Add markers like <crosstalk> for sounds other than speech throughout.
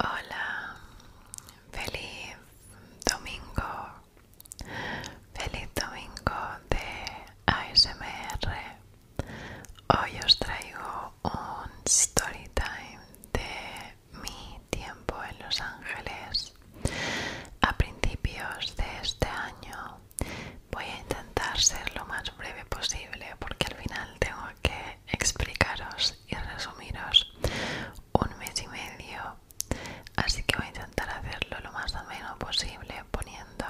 Hola, feliz domingo, feliz domingo de ASMR. Hoy os traigo un story time de mi tiempo en Los Ángeles. A principios de este año voy a intentar ser lo más breve posible porque al final tengo que explicaros y resumiros un mes y medio así que voy a intentar hacerlo lo más ameno posible poniendo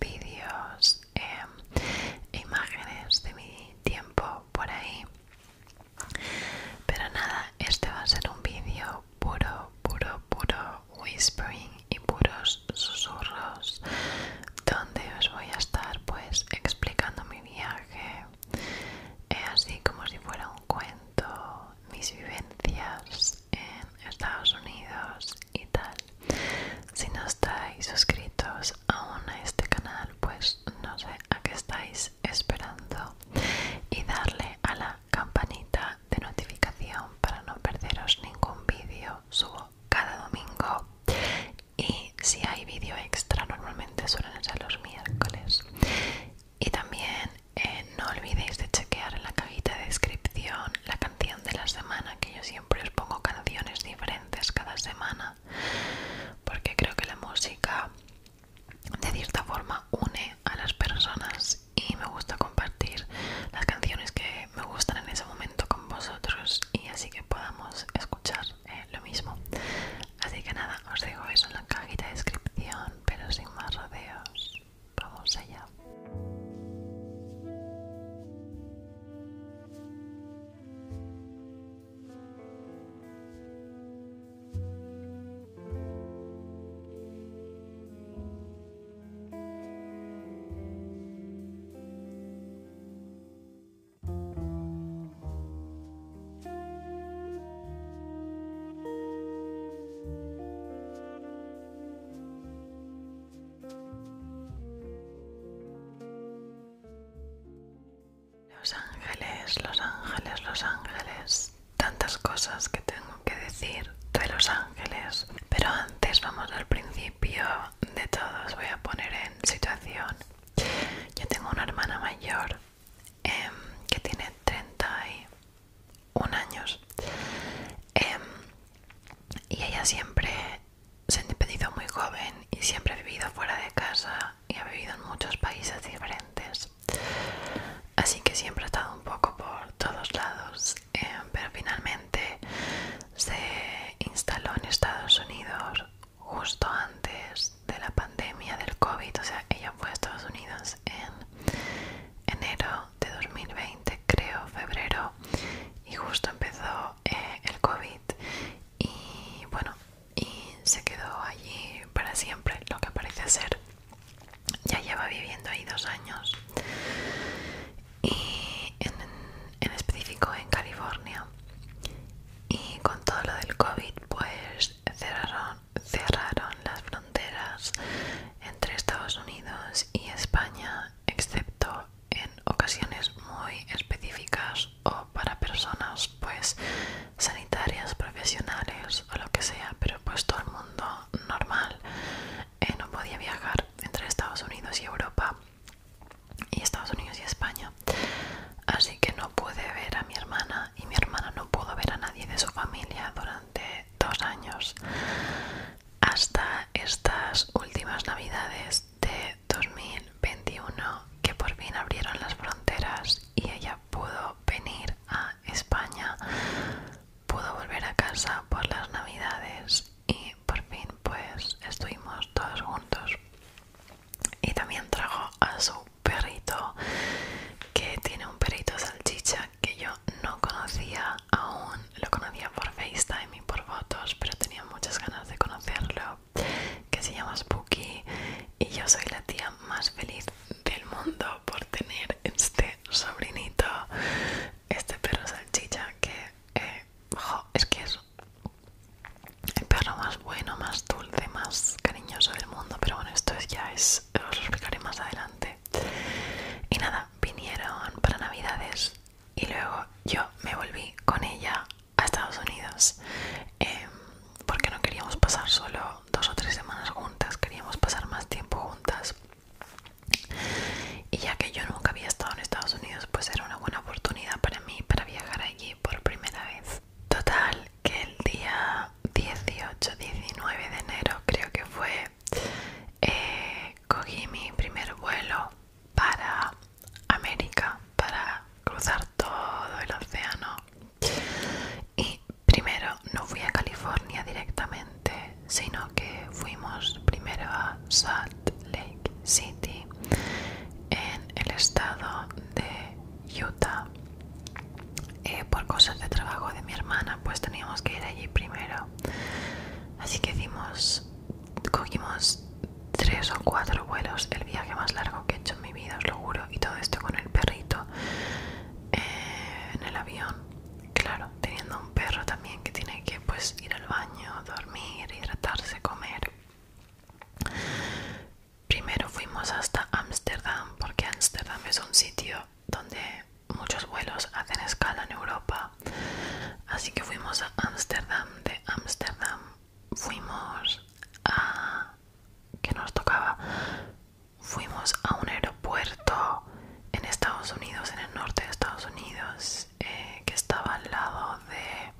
vídeos em, e imágenes de mi tiempo por ahí pero nada este va a ser un vídeo puro puro puro whispering y puros susurros donde os voy a estar pues explicando viaje, es así como si fuera un cuento, mis vivencias en Estados Unidos y tal. Si no estáis suscritos aún a este canal, pues no sé a qué estáis esperando y darle a la campanita de notificación para no perderos ningún vídeo. Subo cada domingo y si hay vídeo extra normalmente suelen ser los miércoles y también eh, no olvidéis de chequear en la cajita de descripción la canción de la semana que yo siempre os pongo canciones diferentes cada semana porque creo que la música de cierta forma une a las personas y me gusta compartir las canciones que me gustan en ese momento con vosotros y así que podamos escuchar eh, lo mismo. Así que nada, os dejo eso en la cajita de descripción, pero sin más rodeos, vamos allá. Los ángeles, los ángeles, los ángeles. Tantas cosas que tengo que decir de los ángeles. Pero antes vamos al principio de todo. Os voy a poner en situación. Yo tengo una hermana mayor em, que tiene 31 años em, y ella siempre se ha independizado muy joven y siempre ha vivido fuera de casa y ha vivido en muchos países diferentes. Así que siempre ha estado un poco por todos lados, em, pero finalmente se instaló en Estados Unidos justo antes de la pandemia del COVID, o sea, ella fue a Estados Unidos en enero de 2020, creo, febrero, y justo empezó eh, el COVID y bueno, y se quedó allí para siempre, lo que parece ser. Ya lleva viviendo ahí dos años y en, en específico en California y con todo lo del COVID pues cerraron, cerraron las fronteras entre Estados Unidos y España excepto en ocasiones muy específicas o para personas pues sanitarias, profesionales o lo que sea, pero pues todo el mundo normal eh, no podía viajar entre Estados Unidos y Europa y Estados Unidos y España. Así que no pude ver a mi hermana y mi hermana no pudo ver a nadie de su familia durante dos años hasta estas últimas navidades de 2021 que por fin abrieron las fronteras y ella pudo venir a España, pudo volver a casa por las navidades y por fin pues estuvimos todos juntos y también trajo a su perrito que tiene un perrito salchicha que yo no conocía aún lo conocía por FaceTime y por fotos pero tenía muchas ganas de conocerlo que se llama Spooky y yo soy la tía más feliz del mundo por tener este sobrinito este perro salchicha que eh, es que es el perro más bueno, más dulce, más cariñoso del mundo. Pero bueno, esto es, ya es, os lo explicaré más adelante. Y nada, vinieron para Navidades y luego yo me volví con ella a Estados Unidos em, porque no queríamos pasar solo dos o tres semanas juntas, queríamos pasar más tiempo juntas. Y ya que yo nunca había estado en Estados Unidos, pues era una buena oportunidad para mí para viajar ahí por primera vez. Total, que el día 18, 19 de enero creo que fue, eh, cogí mi primer vuelo para América, para cruzar todo el océano. Y primero no fui a California directamente, sino que fuimos primero a San Lake City en el estado de Utah. Eh, por cosas de trabajo de mi hermana, pues teníamos que ir allí primero. Así que hicimos, cogimos tres o cuatro vuelos, el viaje más largo que he hecho en mi vida, os lo juro, y todo esto con el perrito en el avión. Claro, teniendo un perro también que tiene que pues ir al baño, dormir, hidratarse, comer. Primero fuimos hasta Ámsterdam porque Ámsterdam es un sitio donde muchos vuelos hacen escala en Europa. Así que fuimos a Ámsterdam, de Ámsterdam fuimos a... que nos tocaba? Fuimos a un aeropuerto en Estados Unidos, en el norte de Estados Unidos, eh, que estaba al lado de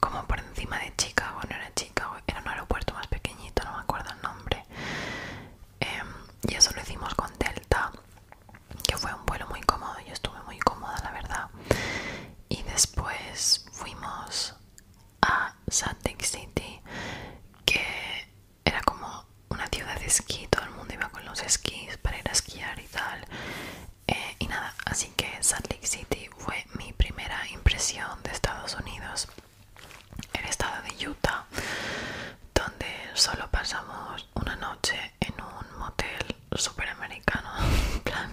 como por encima de Chicago, no era Chicago, era un aeropuerto más pequeñito, no me acuerdo el nombre. Em, y eso lo hicimos con Delta, que fue un vuelo muy cómodo, yo estuve muy cómoda, la verdad. Y después fuimos a Salt City, que era como una ciudad de esquí, todo el mundo iba con los esquís para ir a esquiar y tal. Eh, y nada, así que Salt Lake City fue mi primera impresión de Estados Unidos. El estado de Utah, donde solo pasamos una noche en un motel superamericano, <laughs> plan,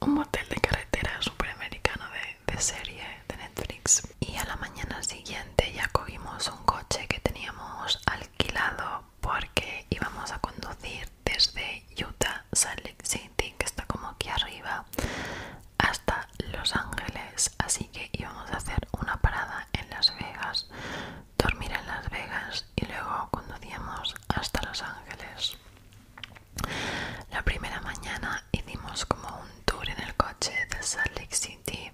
un motel de carretera superamericano de, de serie de Netflix. Y a la mañana siguiente ya cogimos un coche que teníamos alquilado porque íbamos a conducir desde Utah, Salt Lake City, que está como aquí arriba, hasta Los Ángeles. Así que íbamos a hacer una parada en Las Vegas, dormir en Las Vegas y luego conducíamos hasta Los Ángeles. La primera mañana hicimos como un tour en el coche de Salt Lake City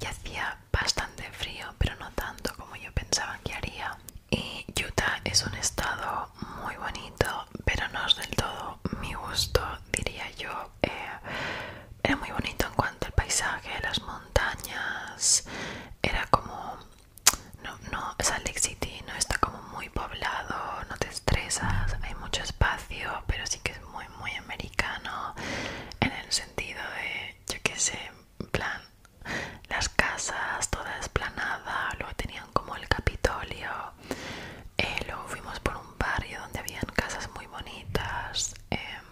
y hacía bastante frío, pero no tanto como yo pensaba que haría. Y Utah es un estado muy bonito, pero no es del todo mi gusto, diría yo. Eh, era muy bonito en cuanto al paisaje, las montañas, era como... No, no, Salt Lake City no está como muy poblado, no te estresas, hay mucho espacio, pero sí que es muy, muy americano en el sentido de, yo qué sé, plan las casas toda esplanada, luego tenían como el Capitolio, eh, luego fuimos por un barrio donde habían casas muy bonitas em,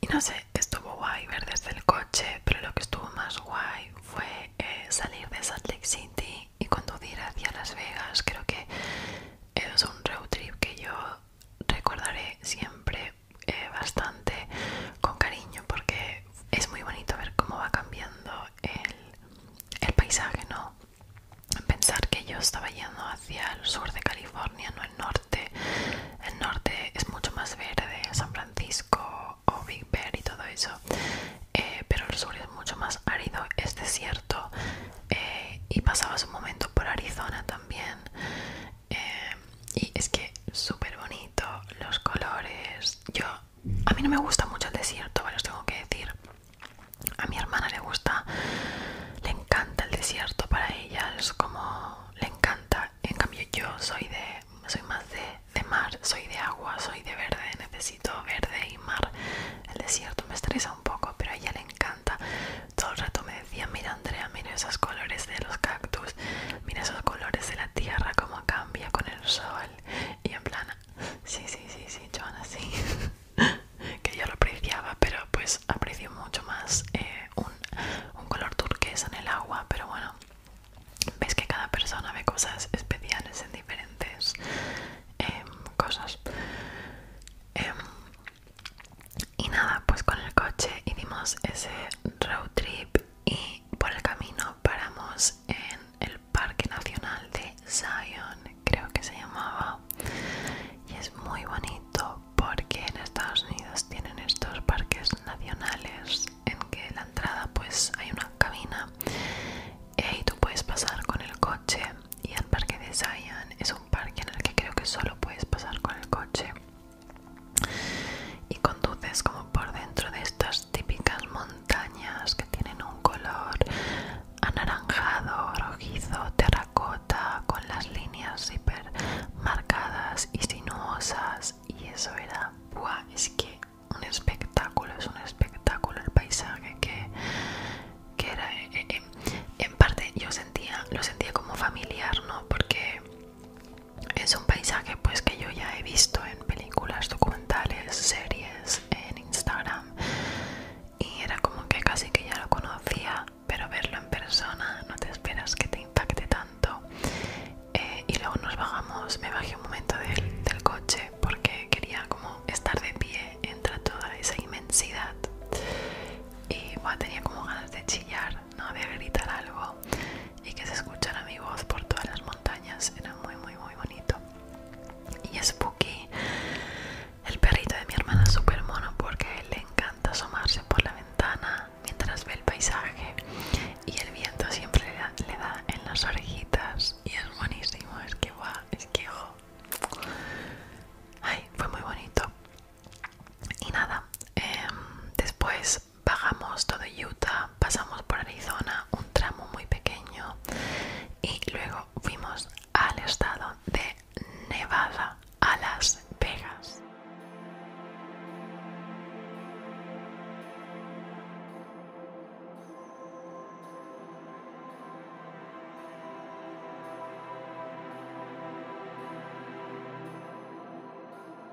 y no sé, estuvo guay ver desde el coche, pero lo que estuvo más guay fue eh, salir de Salt Lake City y conducir hacia Las Vegas, creo que es un road trip que yo recordaré siempre eh, bastante con cariño porque es muy bonito ver cómo va cambiando el, paisaje, ¿no? Pensar que yo estaba yendo hacia el sur de California, no el norte. El norte es mucho más verde, San Francisco o Big Bear y todo eso. Eh, pero el sur es mucho más árido, es desierto. Eh, y pasaba un momento por Arizona también. Eh, y es que súper bonito los colores yo a mí no me gusta mucho el desierto bueno os tengo que decir a mi hermana le gusta le encanta el desierto para ella es como le encanta en cambio yo soy de soy más de, de mar soy de agua soy de verde necesito verde y mar el desierto me estresa un poco pero a ella le encanta todo el rato me decía mira Andrea mira esos colores de los cactus Mira esos colores de la tierra, cómo cambia con el sol. Y en plan, sí, sí, sí, sí, John, sí. <laughs> que yo lo apreciaba, pero pues aprecio mucho más eh, un, color turquesa en el agua. Pero bueno, ves que cada persona ve cosas especiales en diferentes em, cosas. Em, y nada, pues con el coche hicimos ese road trip y por el camino paramos en el Parque Nacional de Zion, creo que se llamaba, y es muy bonito porque en Estados Unidos tienen estos parques nacionales en que en la entrada pues hay una cabina y tú puedes pasar con el coche y el parque de Zion es un parque en el que creo que solo puedes pasar con el coche y conduces como por dentro de estas típicas montañas que tienen un color anaranjado, rojizo, terracota, con las líneas hiper marcadas y sinuosas y eso era, buah, es que un espectáculo, es un espectáculo el paisaje que, era, eh, eh, en parte yo sentía, lo sentía como familiar, ¿no? Porque es un paisaje pues que yo ya he visto en películas documentales series en instagram y era como que casi que ya lo conocía pero verlo en persona no te esperas que te impacte tanto eh, y luego nos bajamos me bajé un momento del, coche porque quería como estar de pie entre toda esa inmensidad y tenía como ganas de chillar no de gritar algo y que se escuchara mi voz por todas las montañas era muy muy muy bonito y Spooky el perrito de mi hermana super mono porque le encanta asomarse por la ventana mientras ve el paisaje y el viento siempre le da, en las orejitas y es buenísimo, es que guau, es que Ay, fue muy bonito. Y nada, em, después bajamos todo Utah, pasamos por Arizona, un tramo muy pequeño y luego fuimos al estado de Nevada, a Las Vegas.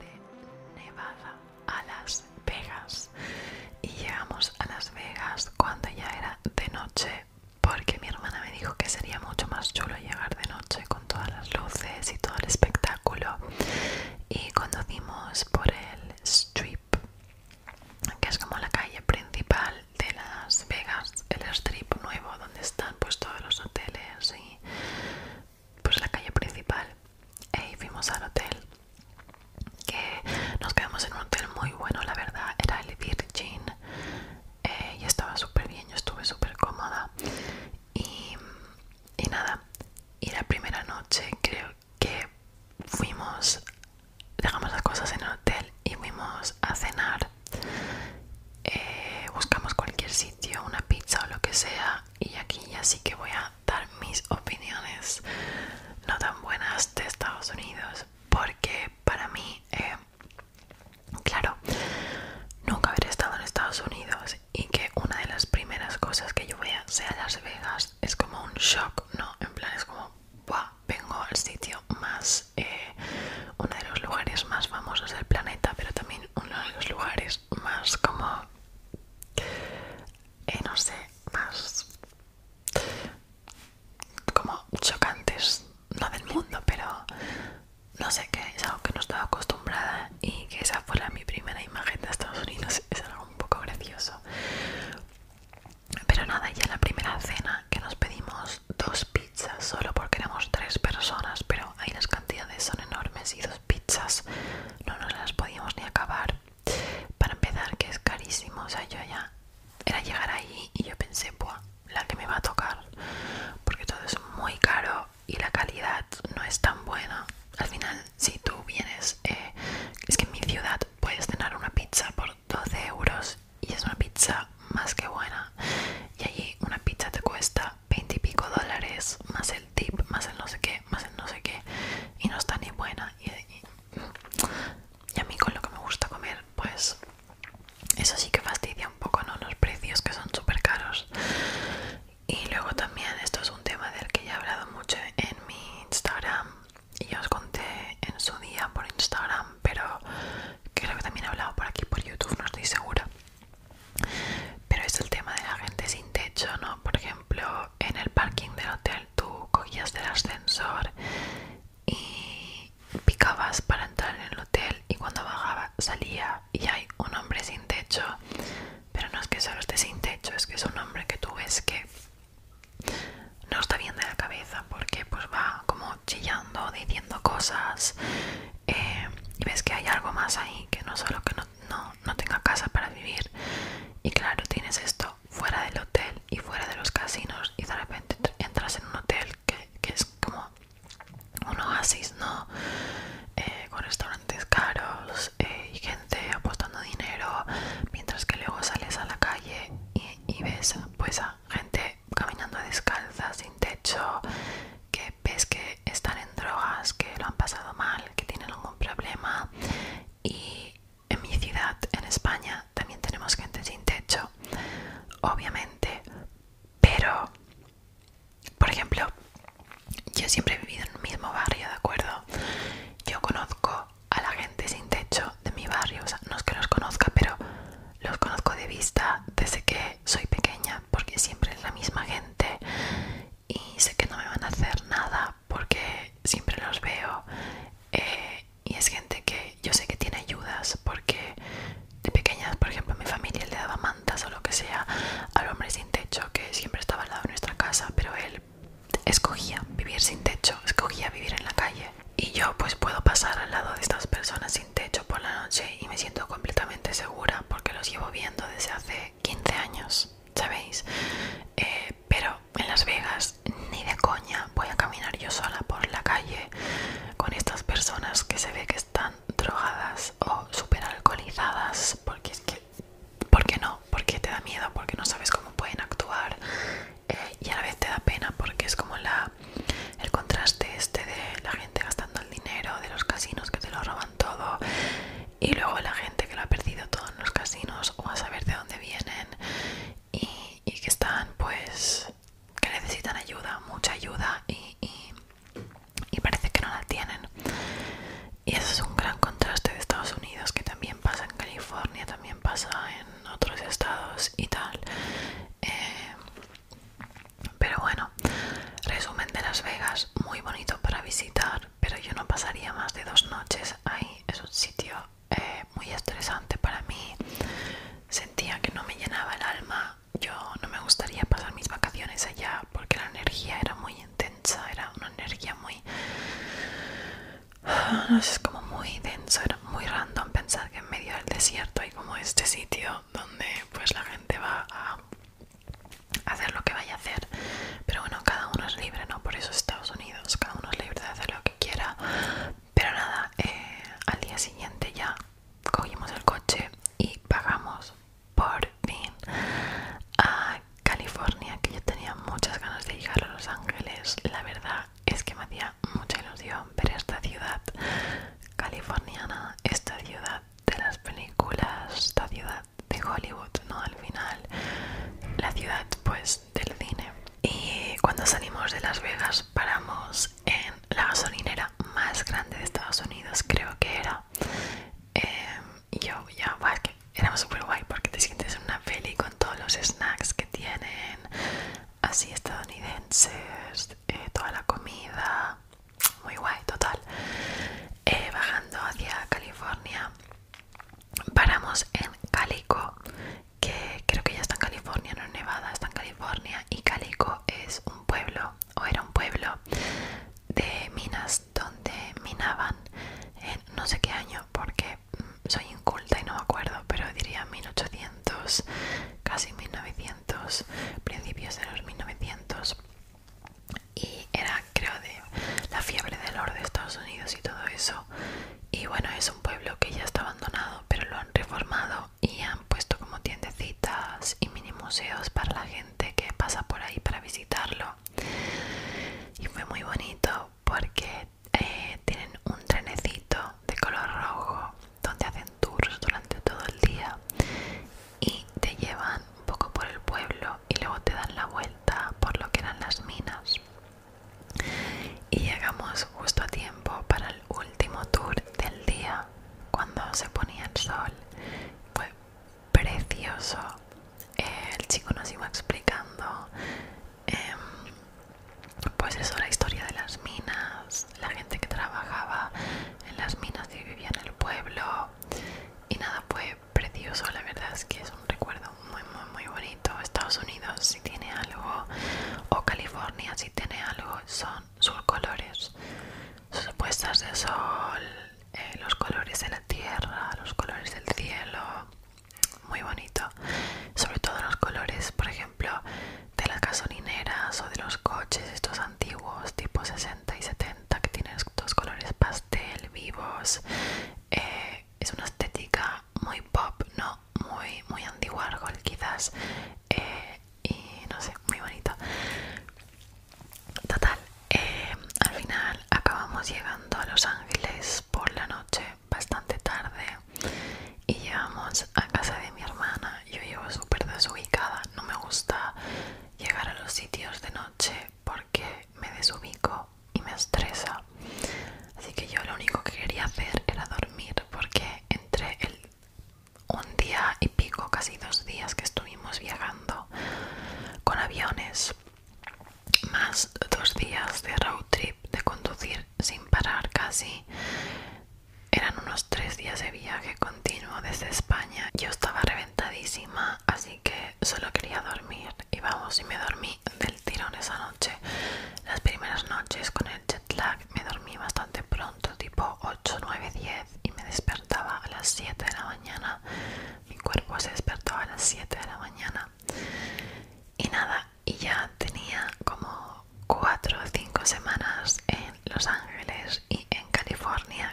de Nevada a Las Vegas. Y llegamos a Las Vegas cuando ya era de noche, porque mi hermana me dijo que sería mucho más chulo llegar de noche con todas las luces y todo el espectáculo. Y conducimos por el Strip, que es como la calle principal de Las Vegas, el Strip nuevo, donde están pues todos los hoteles y pues la calle principal y e fuimos al hotel que nos quedamos en un hotel muy bueno la verdad era el Virgin eh, y estaba súper bien yo estuve súper cómoda y, nada y la primera noche creo que fuimos dejamos las cosas en el hotel y fuimos a cenar eh, buscamos cualquier sitio una pizza o lo que sea y aquí ya sí que voy a dar mis opiniones no tan buenas de Estados Unidos porque para mí eh, claro nunca haber estado en Estados Unidos y que una de las primeras cosas que yo vea sea Las Vegas es como un shock no en plan es como vengo al sitio más eh, uno de los lugares más famosos del planeta pero también uno de los lugares más como, eh, no sé, más como chocantes, no del mundo, pero no sé qué, es algo que no estaba acostumbrada y que esa fuera mi primera imagen de Estados Unidos, <laughs> es algo un poco gracioso. Pero nada, ya en la primera cena que nos pedimos dos pizzas solo porque éramos tres personas, pero ahí las cantidades son enormes y dos pizzas no nos las podíamos ni acabar. Para empezar, que es carísimo, o sea, yo ya era llegar ahí y yo pensé, buah, la que me va a tocar, porque todo es muy caro y la calidad no es tan buena. Al final, si tú vienes, eh, es que en mi ciudad puedes cenar una pizza por 12 euros y es una pizza más que buena. Y allí una pizza te cuesta 20 y pico dólares más el tip, más el no sé qué, más el no sé qué, y no está ni buena. Y, y a mí con lo que me gusta comer, pues eso sí que fastidia un poco, ¿no? Los precios que son súper caros. Y luego también, esto es un tema del que ya he hablado mucho en mi Instagram y os conté en su día por Instagram, pero creo que también he hablado por aquí por YouTube, no estoy segura. Pero es el tema de la gente sin techo, ¿no? Por ejemplo, en el parking del hotel tú cogías el ascensor y picabas para entrar en el hotel y cuando bajaba salía y hay un hombre sin techo. Pero no es que solo esté sin techo, es que es un hombre que tú ves que no está bien de la cabeza porque pues va como chillando, diciendo cosas eh, y ves que hay algo más ahí que no solo que no no, no, tenga casa para vivir y claro tienes esto fuera del hotel y fuera de los casinos y de repente entras en un hotel que, es como un oasis no eh, con restaurantes caros eh, y gente apostando dinero mientras que luego sales a la calle y, ves pues a gente caminando descalza sin techo que ves que están en drogas, que lo han pasado mal, que tienen algún problema. Y en mi ciudad, en España, también tenemos gente sin techo, obviamente. Pero, por ejemplo, yo siempre he vivido en el mismo barrio, ¿de acuerdo? Yo conozco a la gente sin techo de mi barrio, o sea, no es que los conozca, pero los conozco de vista desde que soy pequeña, porque siempre es la misma gente y sé que no me van a hacer nada porque siempre los veo eh, y es gente que yo sé que tiene ayudas porque de pequeñas, por ejemplo, mi familia le daba mantas o lo que sea al hombre sin techo que siempre estaba al lado de nuestra casa, pero él escogía vivir sin techo, escogía vivir en la calle y yo pues puedo pasar al lado de estas personas sin techo por la noche y me siento completamente segura porque los llevo viendo desde hace 15 años, ¿sabéis? Eh, pero en Las Vegas ni de coña voy a caminar yo sola por la calle con estas personas que se ve que están drogadas o súper alcoholizadas porque es que qué no porque te da miedo porque no sabes cómo pueden actuar eh, y a la vez te da pena porque es como la el contraste este de la gente gastando el dinero de los casinos que te lo roban todo y luego la gente que lo ha perdido todo en los casinos o a saber de dónde vienen y, que están pues que necesitan ayuda, mucha ayuda y, parece que no la tienen. Y eso es un gran contraste de Estados Unidos que también pasa en California, también pasa en otros estados y tal. Eh, pero bueno, resumen de Las Vegas, muy bonito para visitar, pero yo no pasaría más de dos noches ahí. Es un sitio eh, muy estresante para mí. Sentía que no me llenaba el alma. Yo no me gustaría pasar mis vacaciones allá porque la energía era muy intensa, era una energía muy... No sé, es como muy denso, era muy random pensar que en medio del desierto hay como este sitio donde pues la gente va a hacer lo que vaya a hacer pero bueno cada uno es libre no por eso Estados Unidos cada uno es libre de hacer lo que quiera pero nada eh, al día siguiente ya cogimos el coche y pagamos por fin a California que yo tenía muchas ganas de llegar a Los Ángeles la verdad es que me hacía mucha ilusión ver esta ciudad californiana esta ciudad de las películas esta ciudad de Hollywood, ¿no? Al final, la ciudad, pues, del cine. Y cuando salimos de Las Vegas, paramos en la gasolinera más grande de Estados Unidos, creo que era. Eh, y yo, ya, super que era súper guay porque te sientes una peli con todos los snacks que tienen, así estadounidenses, eh, toda la comida muy guay, total. Eh, bajando hacia California, paramos en Calico, que creo que ya está en California, no en Nevada, está en California. Y Calico es un pueblo, o era un pueblo, de minas donde minaban en no sé qué año, porque mm, soy inculta y no me acuerdo, pero diría 1800, casi 1900, principios de los 1900 y era creo de la fiebre del oro de Estados Unidos y todo eso y bueno es un pueblo que ya está abandonado pero lo han reformado y han puesto como tiendecitas y mini museos para la gente que pasa por ahí para visitarlo y fue muy bonito porque eh, tienen un trenecito de color rojo donde hacen tours durante todo el día y te llevan un poco por el pueblo y luego te dan la vuelta por lo que eran las minas. Y llegamos justo a tiempo para el último tour del día, cuando se ponía el sol. Fue precioso. el chico nos iba explicando, em, pues eso, la historia de las minas, la gente que trabajaba en las minas y vivía en el pueblo, y nada, fue precioso, la verdad es que es un recuerdo muy, muy, muy bonito. Estados Unidos si tiene algo, o California si tiene algo, son sus colores, sus puestas de sol, eh, los colores de la tierra, los colores del cielo, muy bonito. Sobre todo los colores, por ejemplo, de las gasolineras o de los coches, estos antiguos tipo 60 y 70 que tiene estos colores pastel vivos eh, es una estética muy pop no muy muy antigua quizás eh, y no sé muy bonita total eh, al final acabamos llegando a Los Ángeles por la noche bastante tarde y llegamos a casa de mi hermana yo llevo súper desubicada no me gusta llegar a los sitios de noche porque me desubico y me estresa. Así que yo lo único que quería hacer era dormir porque entre el un día y pico, casi dos días que estuvimos viajando con aviones, más dos días de road trip, de conducir sin parar casi, eran unos tres días de viaje continuo desde España. Yo estaba reventadísima, así que solo quería dormir. Y vamos, y me dormí del tirón esa noche. Las primeras noches con el jet lag me dormí bastante pronto, tipo 8, 9, 10, y me despertaba a las 7 de la mañana. Mi cuerpo se despertó a las 7 de la mañana. Y nada, y ya tenía como 4 o 5 semanas en Los Ángeles y en California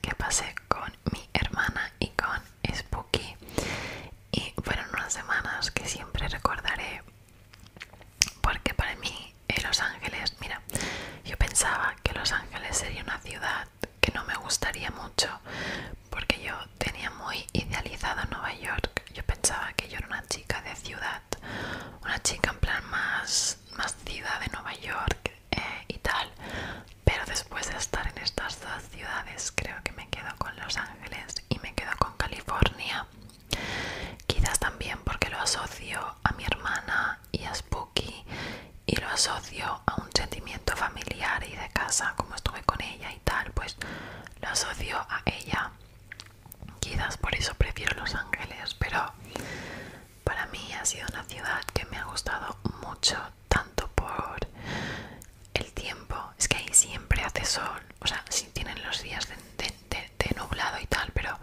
que pasé con mi hermana y con Spooky y fueron unas semanas que siempre recordaré porque para mí, eh, Los Ángeles, mira, yo pensaba que Los Ángeles sería una ciudad que no me gustaría mucho, porque yo tenía muy idealizado Nueva York. Yo pensaba que yo era una chica de ciudad, una chica en plan más, ciudad de Nueva York eh, y tal. Pero después de estar en estas dos ciudades, creo que me quedo con Los Ángeles y me quedo con California. Quizás también porque lo asocio a mi hermana y a Spooky y lo asocio a un sentimiento familiar y de casa, como estuve con ella y tal, pues lo asocio a ella. Quizás por eso prefiero Los Ángeles, pero para mí ha sido una ciudad que me ha gustado mucho, tanto por el tiempo. Es que ahí siempre hace sol, o sea, si tienen los días de, de, nublado y tal, pero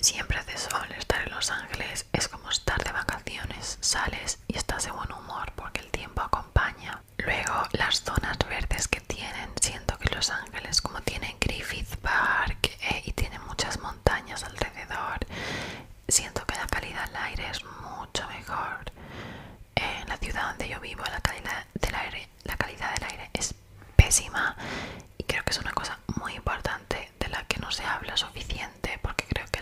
siempre hace sol. Estar en Los Ángeles es como estar de vacaciones, sales y estás de buen humor porque el tiempo acompaña. Luego, las zonas verdes que tienen, siento que Los Ángeles, como tiene Griffith Park eh, y tiene muchas montañas alrededor, siento que la calidad del aire es mucho mejor. En la ciudad donde yo vivo, la calidad del aire la calidad del aire es pésima y creo que es una cosa muy importante de la que no se habla suficiente porque creo que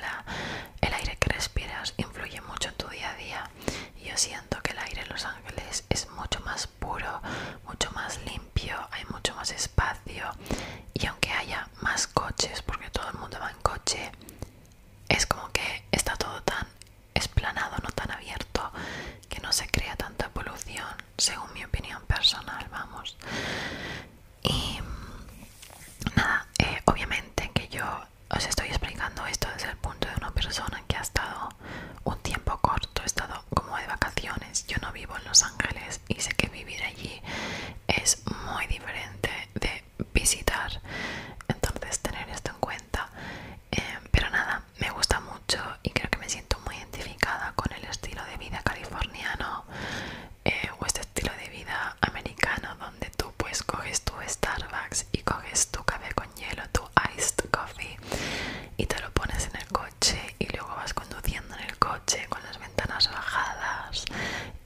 el aire que respiras influye mucho en tu día a día y yo siento que el aire en Los Ángeles es mucho más puro, mucho más limpio, hay mucho más espacio y aunque haya más coches porque todo el mundo va en coche es como que está todo tan esplanado no tan abierto que no se crea tanta polución según mi opinión personal vamos y nada eh, obviamente que yo os estoy explicando esto desde el punto de una persona que ha estado un tiempo corto he estado como de vacaciones yo no vivo en Los Ángeles y sé que vivir allí es muy diferente de visitar entonces tener esto en cuenta Em, pero nada, me gusta mucho y creo que me siento muy identificada con el estilo de vida californiano eh, o este estilo de vida americano donde tú pues coges tu Starbucks y coges tu café con hielo, tu iced coffee y te lo pones en el coche y luego vas conduciendo en el coche con las ventanas bajadas,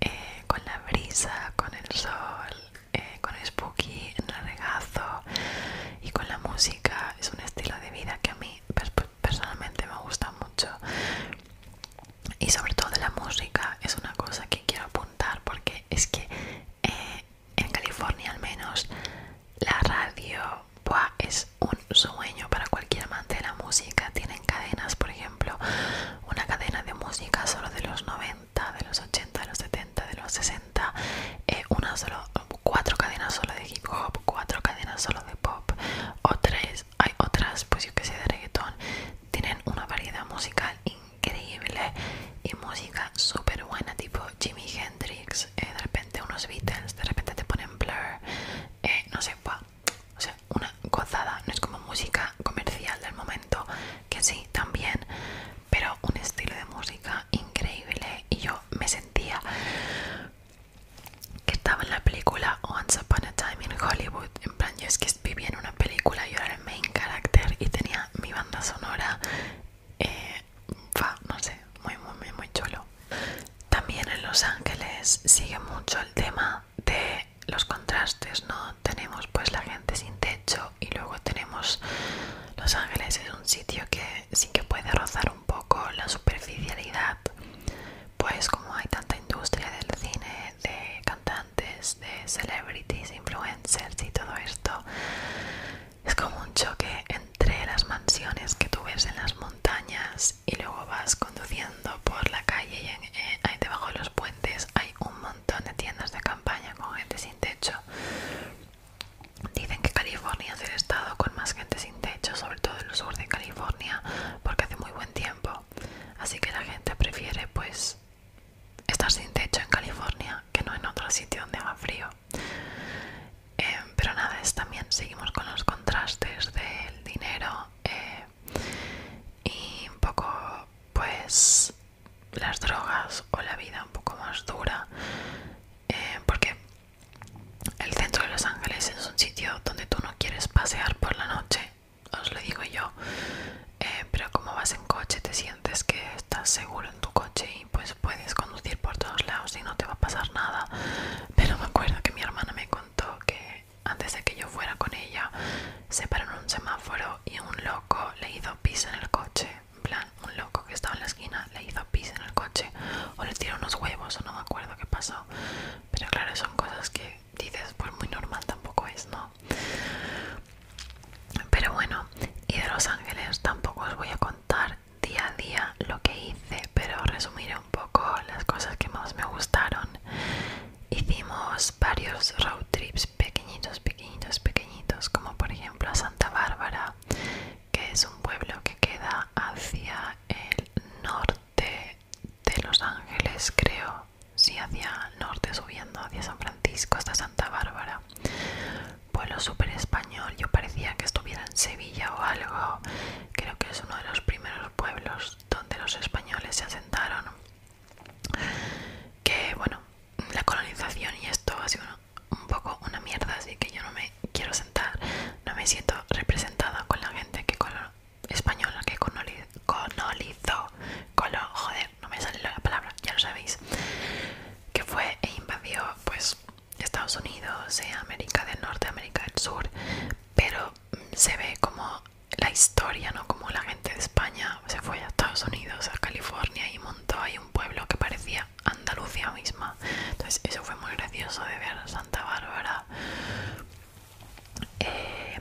eh, con la brisa, con el sol, eh, con el spooky en el regazo y con la música es un estilo de vida que a mí personalmente me gusta mucho y sobre todo la música es una cosa que quiero apuntar porque es que eh, en California al menos la radio es un sueño para cualquier amante de la música. Tienen cadenas, por ejemplo, una cadena de música solo de los 90, de los 80, de los 70 de los 60, 4 eh, una solo, cuatro cadenas solo de hip hop, cuatro cadenas solo de pop, o tres, hay otras, pues yo que sé, de reggaetón. Tienen una variedad musical increíble y música súper buena, tipo Jimi Hendrix, eh, de repente unos Beatles, de repente te ponen Blur, eh, no sé, una gozada, no es como música comercial del momento, que sí, también, pero un estilo de música increíble y yo me sentía que estaba en la película Once Upon a Time in Hollywood en plan yo es que vivía en una película yo era el main character y tenía mi banda sonora eh, no sé muy muy muy chulo también en Los Ángeles sigue mucho el tema de los contrastes no tenemos pues la gente sin techo y luego tenemos Los Ángeles es un sitio que sí que puede rozar un poco la superficialidad pues como hay tanta industria del cine de cantantes de celebrities influencers y todo esto es como un choque entre las mansiones que tú ves en las montañas y luego vas conduciendo por la calle y eh, ahí debajo de los puentes hay un montón de tiendas de campaña con gente sin techo Dicen que California es el estado con más gente sin techo, sobre todo en el sur de California, porque hace muy buen tiempo. Así que la gente prefiere pues estar sin techo en California que no en otro sitio donde haga frío. Em, pero nada, es también seguimos con los contrastes del dinero eh, y un poco pues las drogas o la vida un poco más dura eh, porque el centro de Los Ángeles es un sitio donde tú no quieres pasear por la noche, os lo digo yo, eh, pero como vas en coche te sientes que estás seguro en tu coche y pues puedes conducir por todos lados y no te va a pasar nada. Pero me acuerdo que mi hermana me contó que antes de que yo fuera con ella se paró en un semáforo y un loco le hizo pis en el coche plan, un loco que estaba en la esquina le hizo pis en el coche o le tiró unos huevos o no me acuerdo qué pasó. Pero claro, son cosas que dices, pues muy normal tampoco es, ¿no? Pero bueno, y de Los Ángeles tampoco os voy a contar día a día lo que hice, pero resumiré un poco las cosas que más me gustaron. Hicimos varios road trips pequeñitos, pequeñitos, pequeñitos, como por ejemplo a Santa Bárbara, que es un pueblo que queda hacia el norte de Los Ángeles, creo, si hacia el norte subiendo, hacia San Francisco, hasta Santa Bárbara. Pueblo súper español, yo parecía que estuviera en Sevilla o algo. Creo que es uno de los primeros pueblos donde los españoles se asentaron. Que bueno, la colonización y esto ha sido un poco una mierda, así que yo no me quiero sentar, no me siento representada con la gente que con española que colonizó, lo joder, no me sale la palabra, ya lo sabéis, que fue e invadió pues Estados Unidos, eh, América del Norte, América del Sur, pero se ve como la historia, ¿no? Como la gente de España se fue a Estados Unidos, a California y montó ahí un pueblo que parecía Andalucía, misma. Entonces eso fue muy gracioso de ver Santa Bárbara. Eh,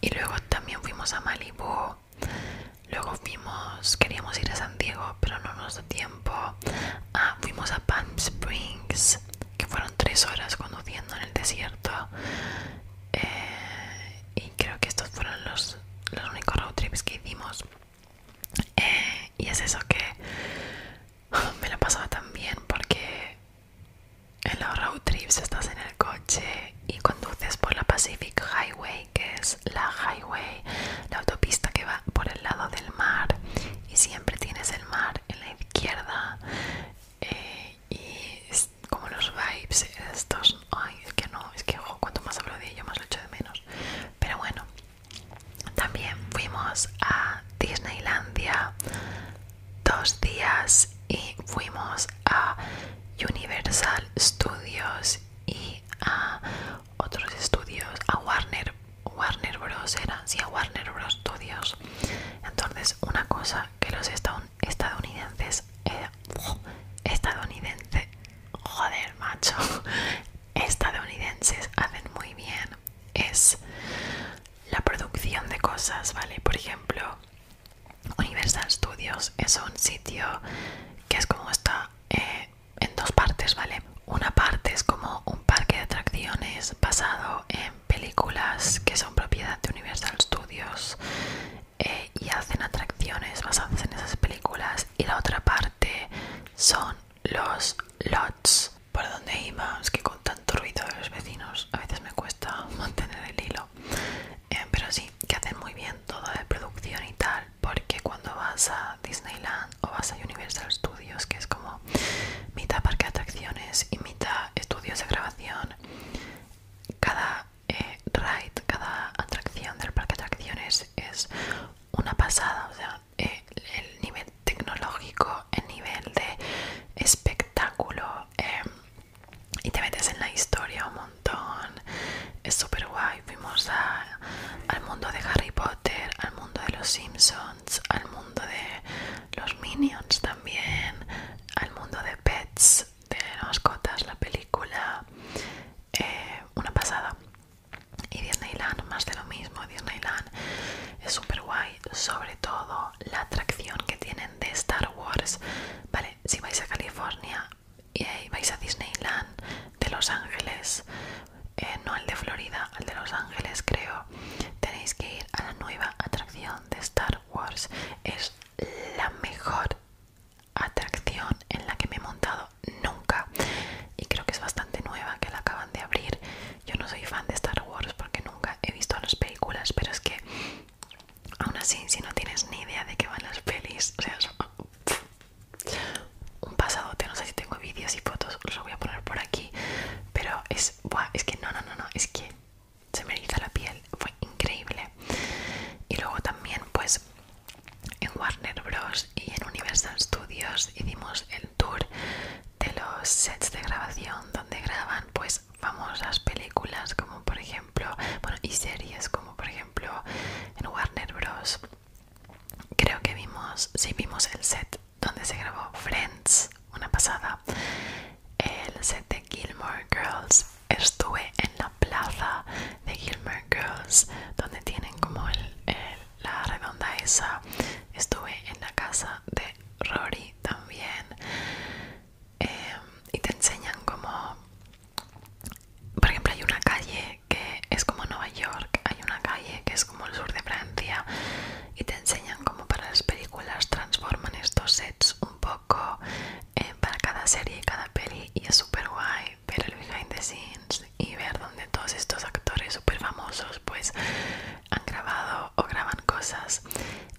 y luego también fuimos a Malibu. Luego fuimos, queríamos ir a San Diego, pero no nos dio tiempo. Ah, fuimos a Palm Springs, que fueron tres horas conduciendo en el desierto. Eh, y creo que estos fueron los, los únicos road trips que hicimos. Eh, y es eso que <laughs> me lo pasaba tan bien porque en los road trips estás en el coche y conduces por la Pacific Highway, que es la highway, la autopista que va por el lado del mar y siempre tienes el mar en la izquierda eh, y como los vibes estos, ay, es que no, es que cuanto más hablo de ello más lo echo de menos, pero bueno, también fuimos a Disneylandia dos días y fuimos a Universal Studios y a otros estudios, a Warner, Warner Bros. Era, sí, a Warner Bros. Studios. Entonces, una cosa que los estadounidenses, eh, estadounidense, joder, macho, estadounidenses hacen muy bien es la producción de cosas, ¿vale? Por ejemplo, Universal Studios es un sitio que es como está eh, en dos partes, ¿vale? Una parte es como un parque de atracciones basado en películas que son propiedad de Universal Studios eh, y hacen atracciones basadas en esas películas y la otra parte son los lots. ¿Por donde iba? que con tanto ruido de los vecinos a veces me cuesta <laughs> mantener el hilo. Eh, pero sí, que hacen muy bien todo de producción y tal, porque cuando vas a Disneyland o vas a Universal Studios, que es como mitad parque de atracciones y mitad estudios de grabación, cada eh, ride, cada atracción del parque de atracciones es una pasada, o sea, eh, el nivel tecnológico, el nivel de espectáculo em, y te metes en la historia un montón, es súper guay, fuimos al mundo de Harry Potter, al mundo de los Simpsons, al mundo de los Minions también, al mundo de Pets, de mascotas, la película, eh, una pasada. Y Disneyland, más de lo mismo. Disneyland es súper guay, sobre todo la atracción que tienen de Star Wars. Vale, si vais a California y vais a Disneyland de Los Ángeles, eh, no al de Florida, al de Los Ángeles, creo, tenéis que ir a la nueva atracción de Star Wars. Es la mejor atracción en la que me he montado nunca y creo que es bastante nueva que la acaban de abrir yo no soy fan de Star Wars porque nunca he visto las películas pero es que aún así si no tienes ni idea de qué van las pelis o sea es un pasadote no sé si tengo vídeos y fotos los voy a poner por aquí pero es es que no no no no es que se me eriza la piel fue increíble y luego también pues en Warner Bros. y en Universal Studios hicimos el tour de los sets de grabación donde graban pues famosas películas como por ejemplo bueno y series como por ejemplo en Warner Bros. Creo que vimos sí vimos el set donde se grabó Friends una pasada el set de Gilmore Girls estuve en la plaza de Gilmer Girls donde tienen como la redonda esa. Estuve en la casa de Rory también em, y te enseñan como, por ejemplo, hay una calle que es como Nueva York, hay una calle que es como el sur de Francia y te enseñan como para las películas transforman estos sets un poco eh, para cada serie y cada peli y es súper guay ver el behind the scenes y ver donde todos estos actores super famosos pues han grabado o graban cosas.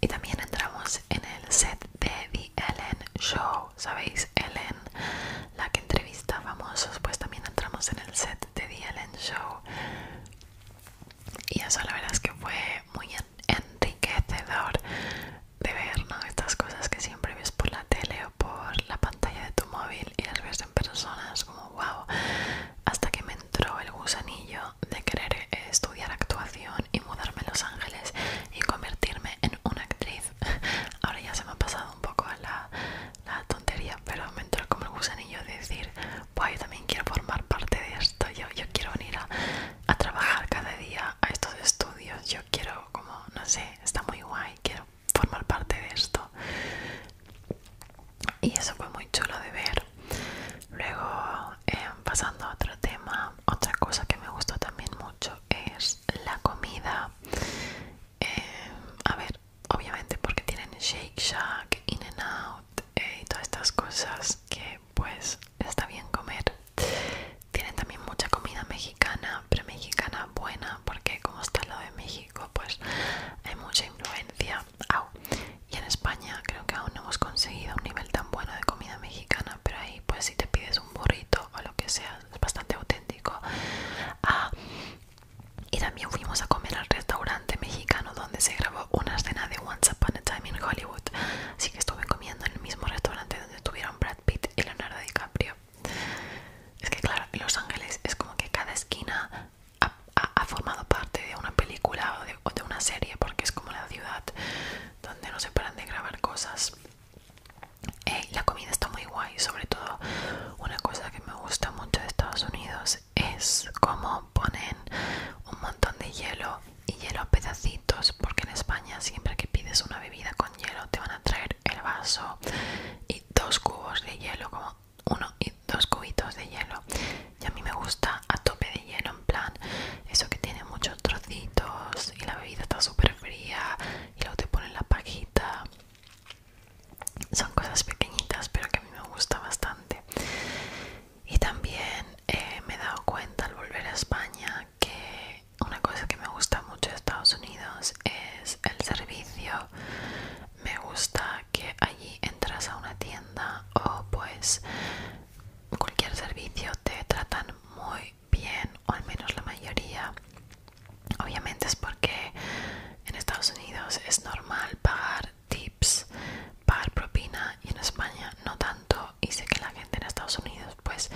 Y también entramos en el set de The Ellen Show, ¿sabéis? Ellen, la que entrevista famosos, pues también entramos en el set de The Ellen Show. Y eso la verdad es que fue muy enriquecedor de ver estas cosas que siempre ves por la tele o por la pantalla de tu móvil y las ves en personas como wow hasta que me entró el gusanillo de querer estudiar actuación y mudarme a Los Ángeles y convertirme en una actriz <laughs> ahora ya se me ha pasado un poco la, tontería pero me entró como el gusanillo de decir wow yo también quiero formar parte de esto yo, yo quiero venir a, a trabajar cada día a estos estudios yo quiero como no sé está muy guay quiero formar parte de esto y eso fue muy chulo de ver luego eh, pasando a otro tema otra cosa que me gustó también mucho es la comida eh, a ver obviamente porque tienen Shake Shack In and Out eh, y todas estas cosas que pues está bien comer tienen también mucha comida mexicana premexicana mexicana buena porque como está al lado de México pues hay mucha influencia y en España creo que aún no hemos conseguido un nivel tan bueno de comida mexicana pero ahí pues si te pides un burrito o lo que sea es bastante auténtico ah, y también fuimos a comer al restaurante mexicano donde se grabó una escena de Once Upon a Time in Hollywood así que estuve comiendo en el mismo restaurante donde estuvieron Brad Pitt y Leonardo DiCaprio es que claro, Los Ángeles es como que cada esquina ha, formado parte de una película o de, una serie, porque es como la ciudad donde no se paran de grabar cosas. Eh, la comida está muy guay, sobre todo una cosa que me gusta mucho de Estados Unidos es cómo ponen un montón de hielo y hielo pedacitos, porque en España siempre que pides una bebida con hielo te van a traer el vaso y dos cubos de hielo, como uno y dos cubitos de hielo. Y a mí me gusta a tope de hielo, en plan, eso que tiene muchos trocitos y la bebida está súper fría y luego te ponen la pajita. Son cosas pequeñitas, pero que a mí me gusta bastante. Y también eh, me he dado cuenta al volver a España que una cosa que me gusta mucho de Estados Unidos es el servicio. Me gusta que allí entras a una tienda o pues cualquier servicio te tratan muy bien o al menos la mayoría. Obviamente es porque en Estados Unidos es normal pagar tips, pagar propina y en España no tanto y sé que la gente en Estados Unidos pues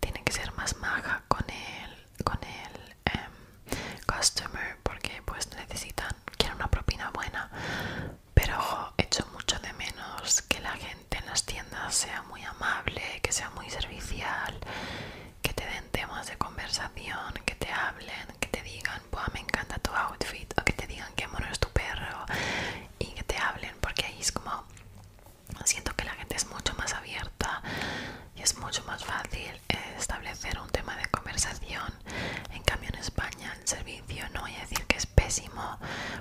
tiene que ser más maja con el, con el em, customer porque pues necesitan, quieren una propina buena. Pero ojo, echo mucho de menos que la gente en las tiendas sea muy amable, que sea muy servicial, que te den temas de conversación, que te hablen, que te digan, me encanta tu outfit, o que te digan qué mono es tu perro, y que te hablen, porque ahí es como siento que la gente es mucho más abierta y es mucho más fácil eh, establecer un tema de conversación. En cambio en España en servicio no voy a decir que es pésimo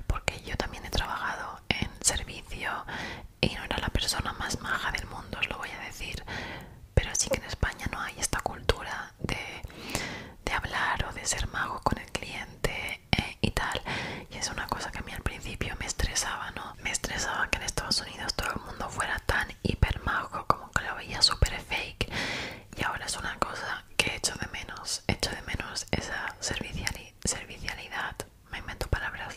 porque yo también he trabajado en servicio y no era la persona más maja del mundo, os lo voy a decir. Pero sí que en España no hay esta cultura de, hablar o de ser mago con el cliente eh, y tal. Y es una cosa que a mí al principio me estresaba, ¿no? me estresaba que en Estados Unidos todo el mundo fuera tan hipermajo como que lo veía súper fake y ahora es una cosa que echo de menos, echo de menos esa servicialidad, me invento palabras,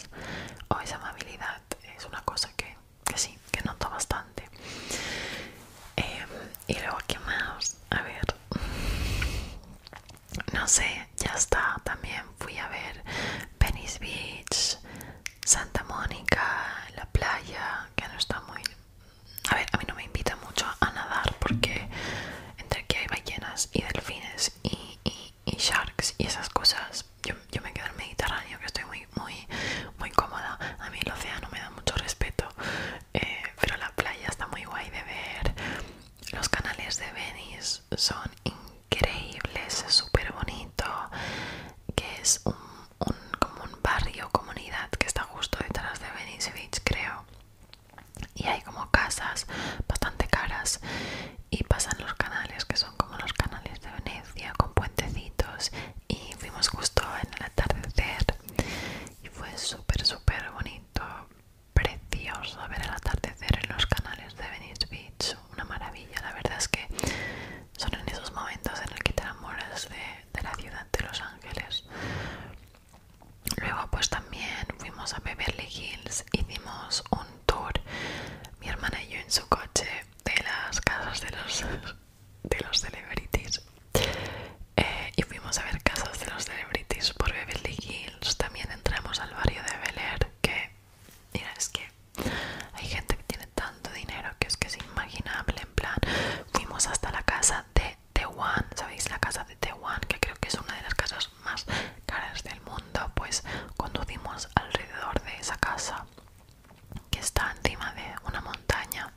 o esa amabilidad, es una cosa que, sí, que noto bastante. Em, y luego, ¿qué más? A ver, no sé, ya está también fui a ver Venice Beach, Santa Mónica, la playa, que no está muy... A ver, a mí no me invita mucho a nadar porque entre que hay ballenas y delfines y, sharks y esas cosas, yo, me quedo en Mediterráneo que estoy muy, muy, muy cómoda. A mí el océano me da mucho respeto, eh, pero la playa está muy guay de ver. Los canales de Venice son increíbles increíbles, súper bonito, que es un, como un barrio, comunidad que está justo detrás de Venice Beach, creo. Y hay como casas bastante caras y pasan los canales, que son como los canales de Venecia, con puentecitos. Y fuimos justo en el atardecer y fue súper, súper bonito precioso ver el atardecer en los canales de Venice Beach, una maravilla. La verdad es que son en esos momentos en el que te enamoras de, la ciudad de Los Ángeles. Luego pues también fuimos a Beverly Hills, hicimos un tour, mi hermana y yo en su coche, de las casas de los, de los celebrities. Eh, y fuimos a ver casas de los celebrities por Beverly Hills. También entramos al barrio de Bel Air, que Mira, es que hay gente que tiene tanto dinero que es que es imaginable. En plan, fuimos hasta la casa de The One, ¿sabéis? La casa de The One, que creo que es una de las casas más caras del mundo. Pues conducimos alrededor de esa casa que está encima de una montaña.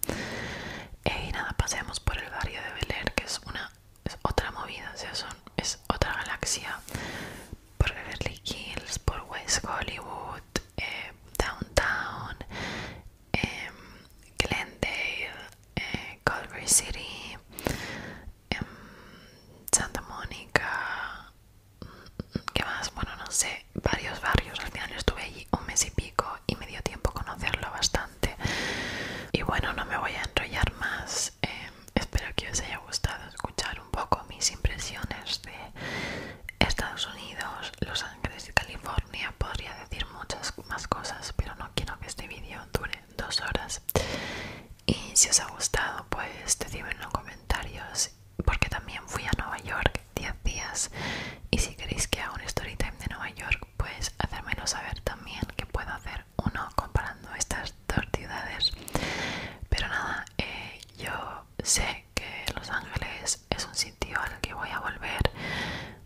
Eh, y nada, paseamos por el barrio de Bel que es una es otra movida, o sea, son, es otra galaxia por Beverly Hills, por West Hollywood, eh, Downtown, em, Glendale, eh, Culver City, em, Santa Mónica, mm, ¿qué más? Bueno, no sé, varios barrios. Al final estuve allí un mes y pico y me dio tiempo conocerlo bastante. Y bueno, no me voy a enrollar más. Em, espero que os haya gustado escuchar un poco mis impresiones de Estados Unidos, Los Ángeles y California. Podría decir muchas más cosas, pero no quiero que este vídeo dure dos horas. Y si os ha gustado, pues decidme en los comentarios, porque también fui a Nueva York 10 días. Y si queréis que haga un story time de Nueva York, pues hacérmelo saber también que puedo hacer uno comparando estas dos ciudades pero nada eh, yo sé que Los Ángeles es un sitio al que voy a volver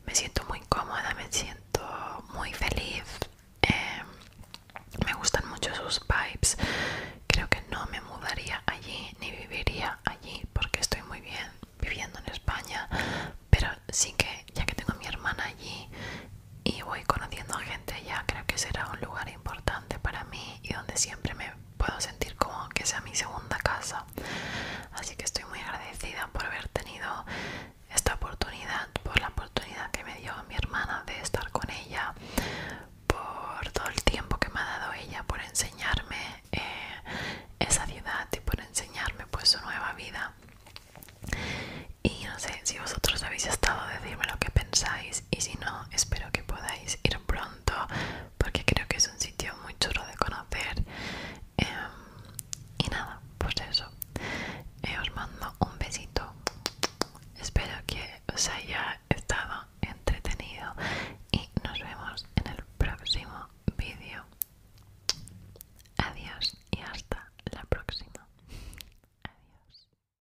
me siento muy cómoda me siento muy feliz em, me gustan mucho sus vibes creo que no me mudaría allí ni viviría allí porque estoy muy bien viviendo en España pero sí que ya que tengo mi hermana allí y voy conociendo a gente ya creo que será un lugar importante para mí y donde siempre me puedo sentir como que sea mi segunda casa. Así que estoy muy agradecida por haber tenido esta oportunidad, por la oportunidad que me dio mi hermana de estar con ella, por todo el tiempo que me ha dado ella, por enseñarme eh, esa ciudad y por enseñarme pues su nueva vida. Y no sé si vosotros habéis estado, decirme lo que pensáis y si no, espero que podáis ir pronto porque creo que es un sitio muy chulo de conocer. Em, y nada, pues eso. Eh, os mando un besito. Espero que os haya estado entretenido y nos vemos en el próximo vídeo. Adiós y hasta la próxima. Adiós.